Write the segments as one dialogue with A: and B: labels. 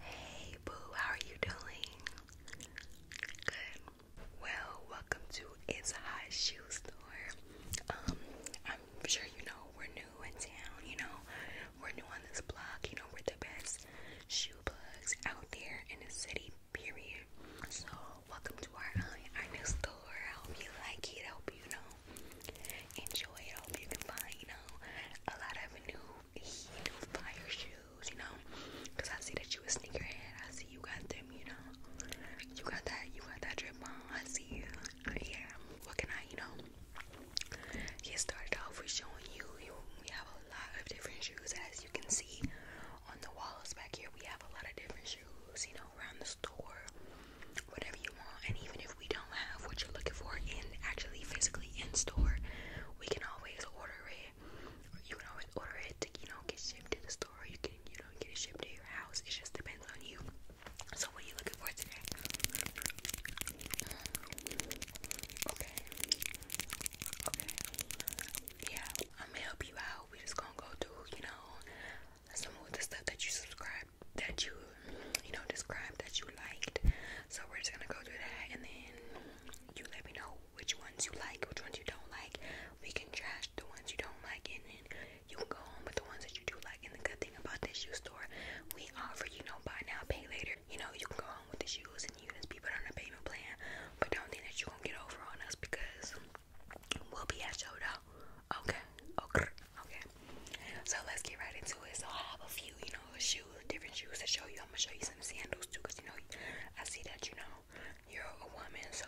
A: Hey boo, how are you doing? Good. Well, welcome to It's Hot Shoe Store. Um, I'm sure you know we're new in town, you know, we're new on this block, you know, we're the best shoe plugs out there in the city, period. So, welcome to our, um, our new store. I hope you like it. I hope you know enjoy it. I hope you can find, you know, a lot of new heat fire shoes, you know? Cause I see that you a sneakerhead. I see you got them, you know. You got that, you got that drip on. I see you. Yeah, what can I, you know? Get started off with showing you, you. We have a lot of different shoes, as you can see on the walls back here. We have a lot of different shoes, you know, around the store, whatever you want. And even if we don't have what you're looking for in actually physically in store, we can always order it. You can always order it you know get shipped to the store. You can you know get shipped to your house. It just depends on you. So what are you looking for today? Okay. Okay. Yeah, I'm gonna help you out. We just gonna go through you know some of the stuff that you subscribe that you you know, describe that you liked. So we're just gonna go through that and then you let me know which ones you like, which ones you don't like. We can trash the ones you don't like and then you can go home with the ones that you do like. And the good thing about this shoe store, we offer, you know, buy now, pay later. You know, you can go home with the shoes and you can just be put on a payment plan. But don't think that you're gonna get over on us because we'll be at your door. Okay, okay, okay. So let's get right into it. So I have a few, you shoes, different shoes to show you. I'm gonna show you some sandals too, you know, I see that you know you're a woman, so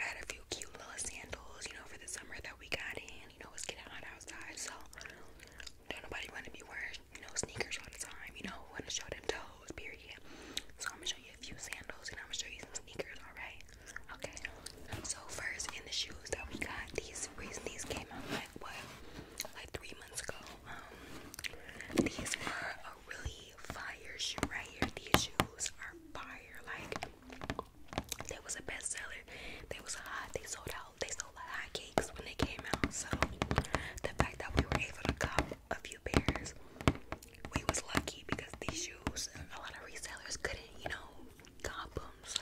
A: I had a few cute little sandals, you know, for the summer that we got in. You know, it's getting hot outside, so don't nobody want to be wearing you know sneakers all the time. You know, want to show them toes, period. So I'm gonna show you a few sandals, and I'm gonna show you some sneakers. All right, okay. So first, in the shoes that we got, these these came out like what? like three months ago. Um, these are a really fire shoe right here. These shoes are fire. Like they was a bestseller. They was hot. They sold out. They sold like hotcakes when they came out. So the fact that we were able to cop a few pairs, we was lucky because these shoes, a lot of resellers couldn't, you know, cop them so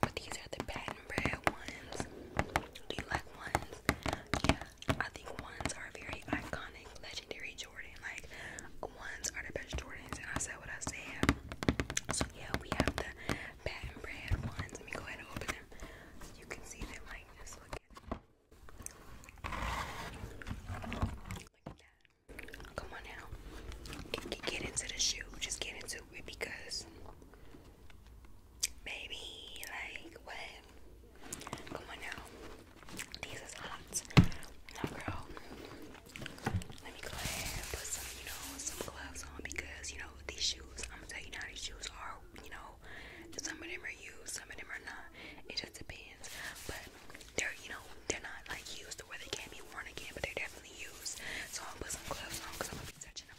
A: but these are the patent bread ones. Do you ones? Yeah, I think ones are very iconic, legendary Jordan. Like ones are the best Jordans, and I said what I said. So yeah, we have the patent bread ones. Let me go ahead and open them. You can see them like Look at them. that. Come on now. get into the shoe. Just get into it because Maybe like what? Come on now. These is hot. Now girl. Let me go ahead put some, you know, some gloves on because you know these shoes, I'm gonna tell you now these shoes are, you know, some of them are used, some of them are not. It just depends. But they're you know, they're not like used where they can't be worn again, but they're definitely used. So I'm gonna put some gloves on because I'm gonna be touching the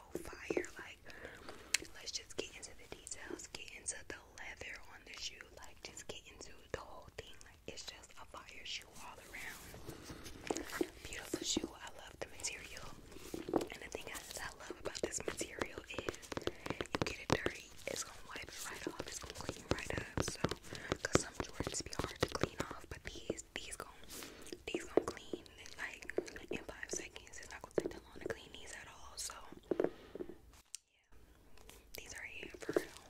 A: fire. Like, let's just get into the details, get into the leather on the shoe, like, just get into the whole thing. Like, it's just a fire shoe all around. Beautiful shoe. I love the material. And the thing I love about this material is you get it dirty, it's gonna wipe right off, it's gonna clean right up. So, because some Jordans be hard to clean off, but these, these gonna these gonna clean like in five seconds. It's not gonna take that long to clean these at all. So yeah, these are here for real.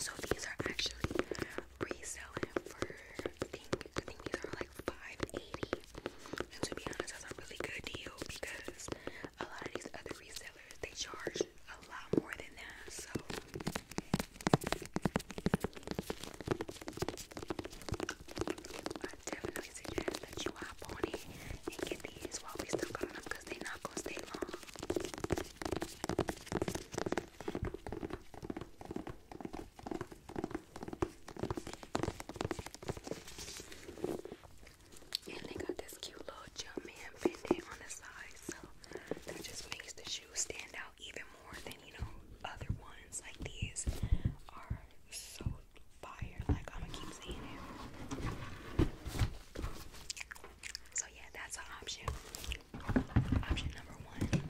A: So these are actually reselling for these are like five eighty. And to be honest, that's a really good deal because a lot of these other resellers they charge a lot more than that. So I definitely suggest that you hop on it and get these while we still got them they not going stay long. And they got this cute little jump man pendant on the side, so that just makes the shoes stand out even more than you know other ones. Like these are so fire. Like I'm gonna keep seeing it. So yeah, that's an option. Option number one.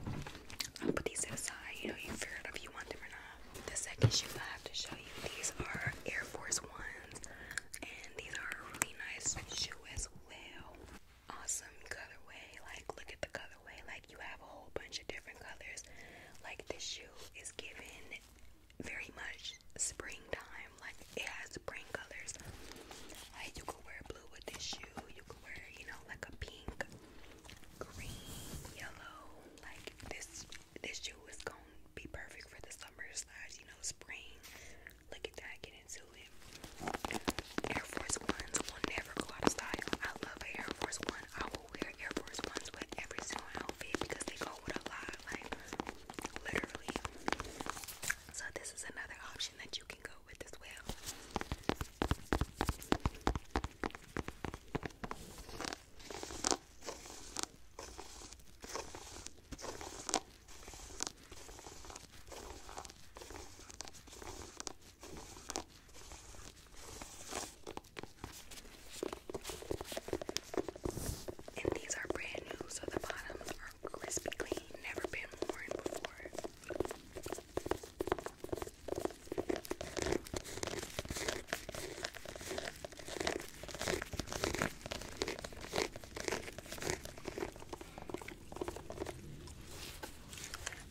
A: I'll put these to the side. You know, you figure if you want them The second shoe I have to show you. These are Air Force Ones, and these are really nice shoe as awesome colorway. Like, look at the colorway. Like, you have a whole bunch of different colors. Like, this shoe is given very much springtime. Like, it has spring colors. Like, you could wear blue with this shoe. You could wear, you know, like a pink, green, yellow. Like, this this shoe is going to be perfect for the summer slash, you know, spring. Look at that. Get into Air Force Ones will never go out of style. I love Air Force One. I will wear Air Force Ones with every single outfit because they go with a lot, like literally. So this is another option that you can go with as well. And these are brand new, so the bottoms are crispy clean, never been worn before.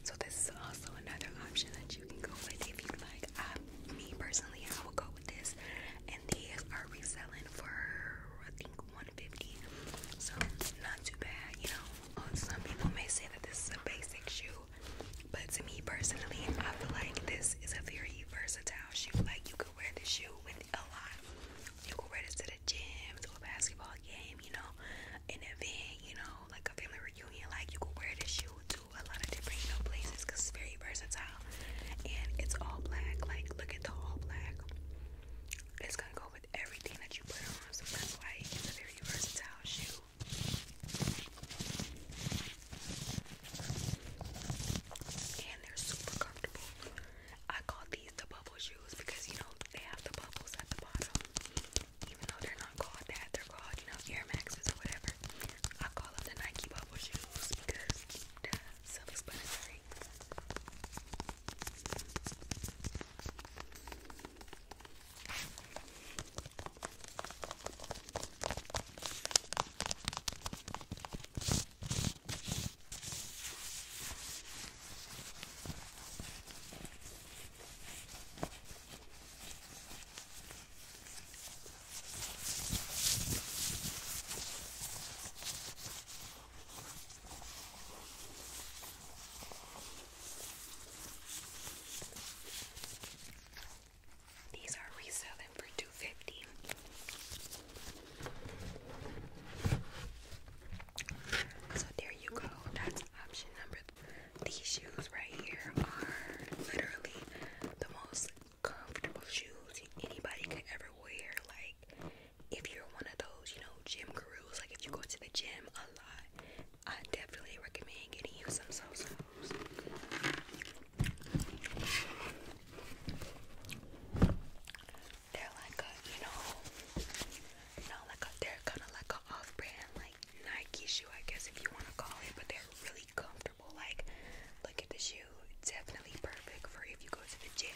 A: So this is also another option that you can go with if you'd like. Um, me personally, I would go with this. And these are reselling for I think 150. So not too bad, you know. Uh, some people may say that this is a basic shoe, but to me personally, I feel like this is a very versatile shoe. Like you could wear this shoe with a lot. You could wear this to the gym, to a basketball game, you know an event, you know, like a family reunion. Like you could wear this shoe to a lot of different, places because it's very versatile. And it's all black. Like look at the all black. It's gonna go with everything that you put on. So that's why it's a very versatile shoe. And they're super comfortable. I call these the bubble shoes because you know they have the bubbles at the bottom even though they're not called that, they're called, you know, Air Maxes or whatever. I call them the Nike bubble shoes because the self-explanatory. These are reselling for two fifty. So there you go. Option number th these shoes right here are literally the most comfortable shoes anybody could ever wear. Like, if you're one of those, you know, gym gurus, like if you go to the gym a lot, I definitely recommend getting you some so so's. They're like a, you know, no, like a, they're kind of like an off-brand like Nike shoe, I guess if you want to call it, but they're really comfortable. Like, look at the shoe; it's definitely perfect for if you go to the gym.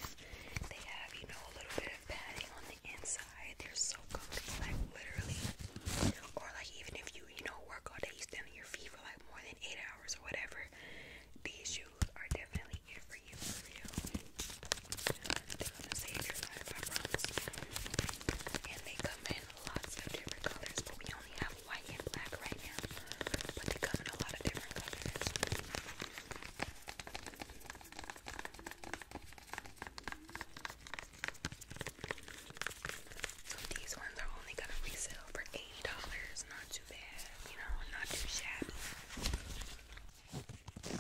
A: They have, you know, a little bit of padding on the inside. They're so comfortable, like literally. Or like even if you, you know, work all day, you stand on your feet for like more than eight hours or whatever. These shoes are definitely it for you, for real they And they come in lots of different colors, but we only have white and black right now. But they come in a lot of different colors. So these ones are only gonna resell for eighty dollars. Not too bad, you know, not too shabby.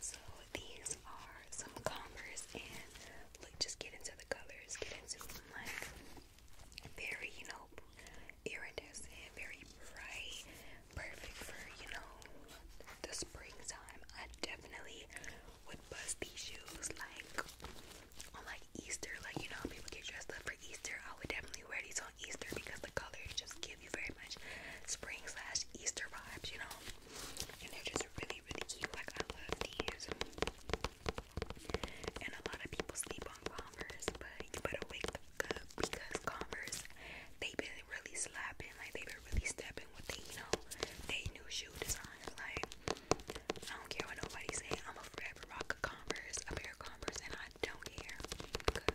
A: So these are some Converse, and look, just get into the colors, get into like very, you know, iridescent, very bright, perfect for you know the springtime. I definitely would bust these shoes like on like Easter, like you know, people get dressed up for Easter. I would definitely wear these on around Easter because the colors just give you very much spring slash Easter vibes, you know? And they're just really, really cute. Like, I love these. And a lot of people sleep on Converse, but you better wake the fuck up because Converse, they've been really slapping. Like, they've been really stepping with the, you know, they new shoe designs. Like, I don't care what nobody say. I'm a forever rock Converse, a pair of Converse, and I don't care. Cause,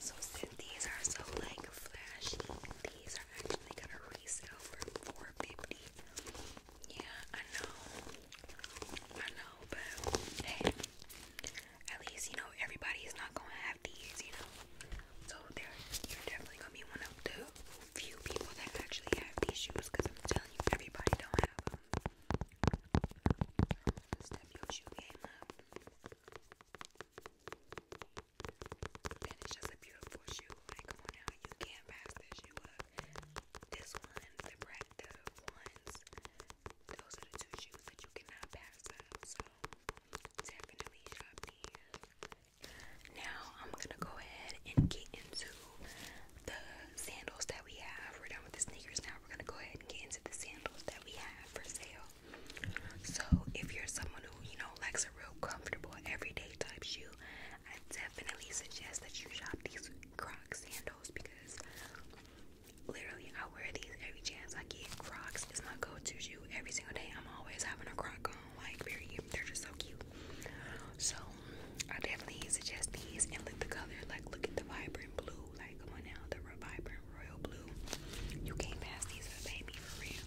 A: so since these are so like flashy, these are actually gonna resell for four fifty. Yeah, I know, I know, but at least you know everybody is not gonna have these, you know. So there, you're definitely gonna be one of the few people that actually have these shoes, because I'm telling you, everybody don't have them. Step your shoe game up, and it's just a beautiful shoe. come on now, you can't pass this shoe up. This one, the Brad, the one ones. Those are the two shoes that you cannot pass up. So definitely shop these. Now I'm gonna go ahead and get into the sandals that we have. We're done with the sneakers now. We're gonna go ahead and get into the sandals that we have for sale. So if you're someone who you know likes a real comfortable everyday type shoe, I definitely suggest that you shop these Croc sandals because Literally, I wear these every chance I get. Crocs is my go-to shoe every single day. I'm always having a Croc on, like, period. They're just so cute. So, I definitely suggest these and look at the color. Like, look at the vibrant blue. Like, come on now, the vibrant royal blue. You can't pass these up, baby, for real.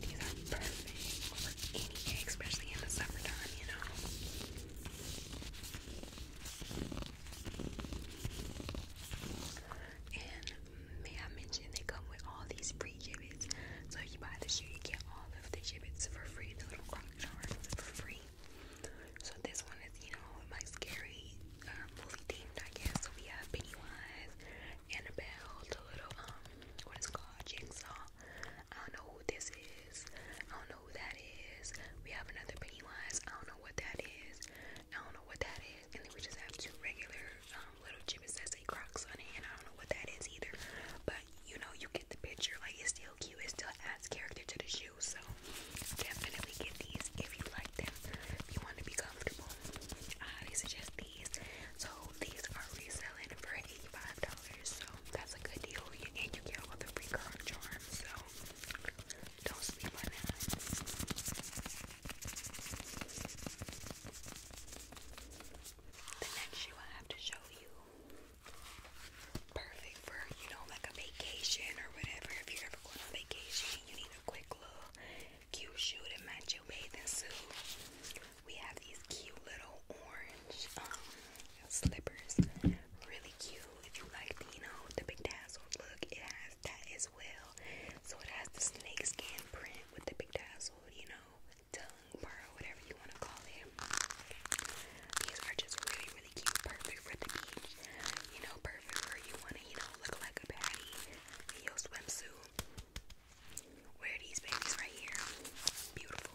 A: These are perfect for any day, especially in the summertime, you know. And may I mention they come with all these free gibbets. So you buy the shoe, you get all of the gibbets for free, the little croc for free. So this one is, you know, my scary movie um, themed, I guess. So we have Pennywise, Annabelle, the little um, what is it called, Jigsaw. I don't know who this is. I don't know who that is. We have another Pennywise. I don't know what that is. I don't know what that is. And then we just have two regular um, little gibbets that Crocs on it, and I don't know what that is either. But you know, you get the picture. Like it's still cute. It still adds character to the shoe. So definitely get these if you like them. If you want to be comfortable, I suggest these. So these are reselling for eighty-five dollars.
B: So that's a good deal. And you get all the free
A: card charms. So don't sleep on that. The next shoe I have to show you. Perfect for, you know, like a vacation or whatever. If you're ever going on vacation you need a quick little cute shoe to match your bathing suit. We have these cute little orange um, slippers. Really cute. If you like the, you know, the big tassel look, it has that as well. So it has the snake skin print with the big tassel, you know, tongue pearl, whatever you want to call it. These are just really, really cute. Perfect for the beach. You know, perfect for you want to, you know, look like a baddie in your swimsuit. Wear these babies right here. Beautiful.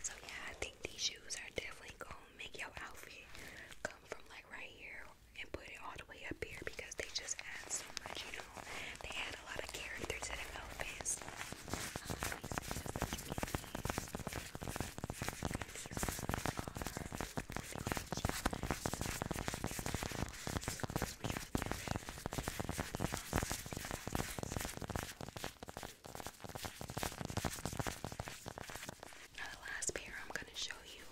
A: So yeah, I think these shoes are definitely gonna make your outfit come from like right here and put it all the way up here because they just add so much, you know. They add a lot of character to the outfits the last pair I'm gonna show you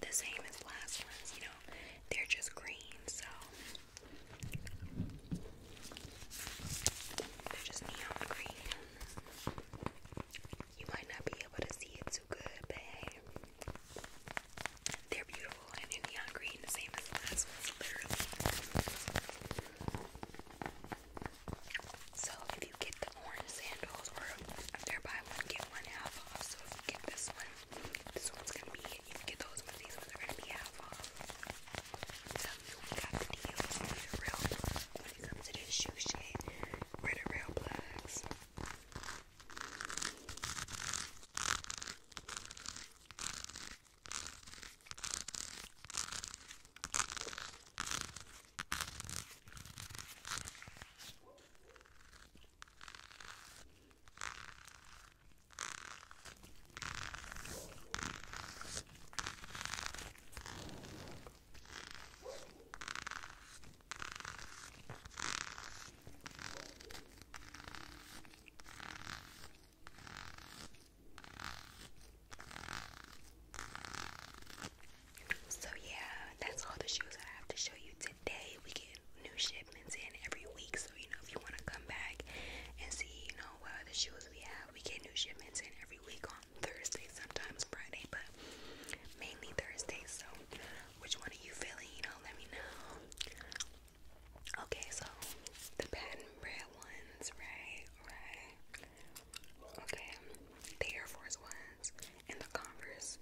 A: the same as last ones, you know, they're just green, so they're just neon green. You might not be able to see it too good, but hey, they're beautiful and in neon green, the same as last ones, literally. So if you get the orange sandals, or if they're buy one, get one half off. So if you get this one, this one's gonna be, if you get those ones, these ones are gonna be half off. i you, got the deals, these real when it to this shoe shit. Where the real plugs. So yeah, that's all the shoes I have to show you today. We get new shipments in every week, so you know if you want to come back and see, you know, what uh, shoes we have, we get new shipments in every week Thursday, sometimes Friday, but mainly Thursday. So, which one are you feeling? You know, let me know. Okay, so the patent red ones, right? Right. Okay, the Air Force ones and the Converse.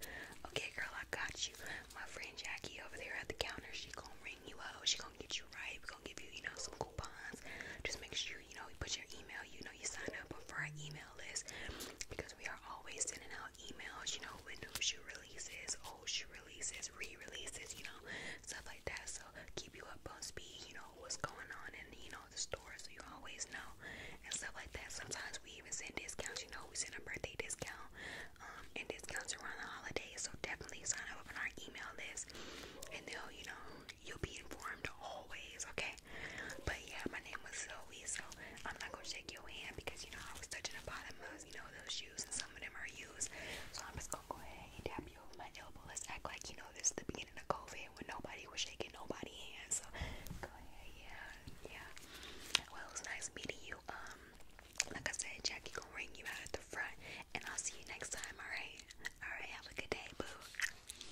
A: Okay, girl, I got you. My friend Jackie over there at the counter, she gonna ring you up. She gonna get you right. We gonna give you, you know, some coupons. Just make sure you, know, put your email, you know, you sign up for our email list because we are always sending out emails, you know, when new shoe releases, old shoe releases, re-releases, you know, stuff like that. So keep you up on speed, you know, what's going on in, you know, the store so you always know and stuff like that. Sometimes we even send discounts, you know, we send a birthday discount, um, and discounts around the holidays. So definitely sign up on our email list and they'll, you know, you'll be informed always, okay? okay? But yeah, my name was Zoe, so I'm not gonna shake your hand because you know I was touching the bottom of you know those shoes, and some of them are used. So I'm just gonna go ahead and tap you over my elbow. Let's act like you know this is the beginning of COVID when nobody was shaking nobody's hand. So go ahead, yeah, yeah. Well, it was nice meeting you. Um, like I said, Jackie gonna ring you out at the front, and I'll see you next time. All right, all right. Have a good day, boo.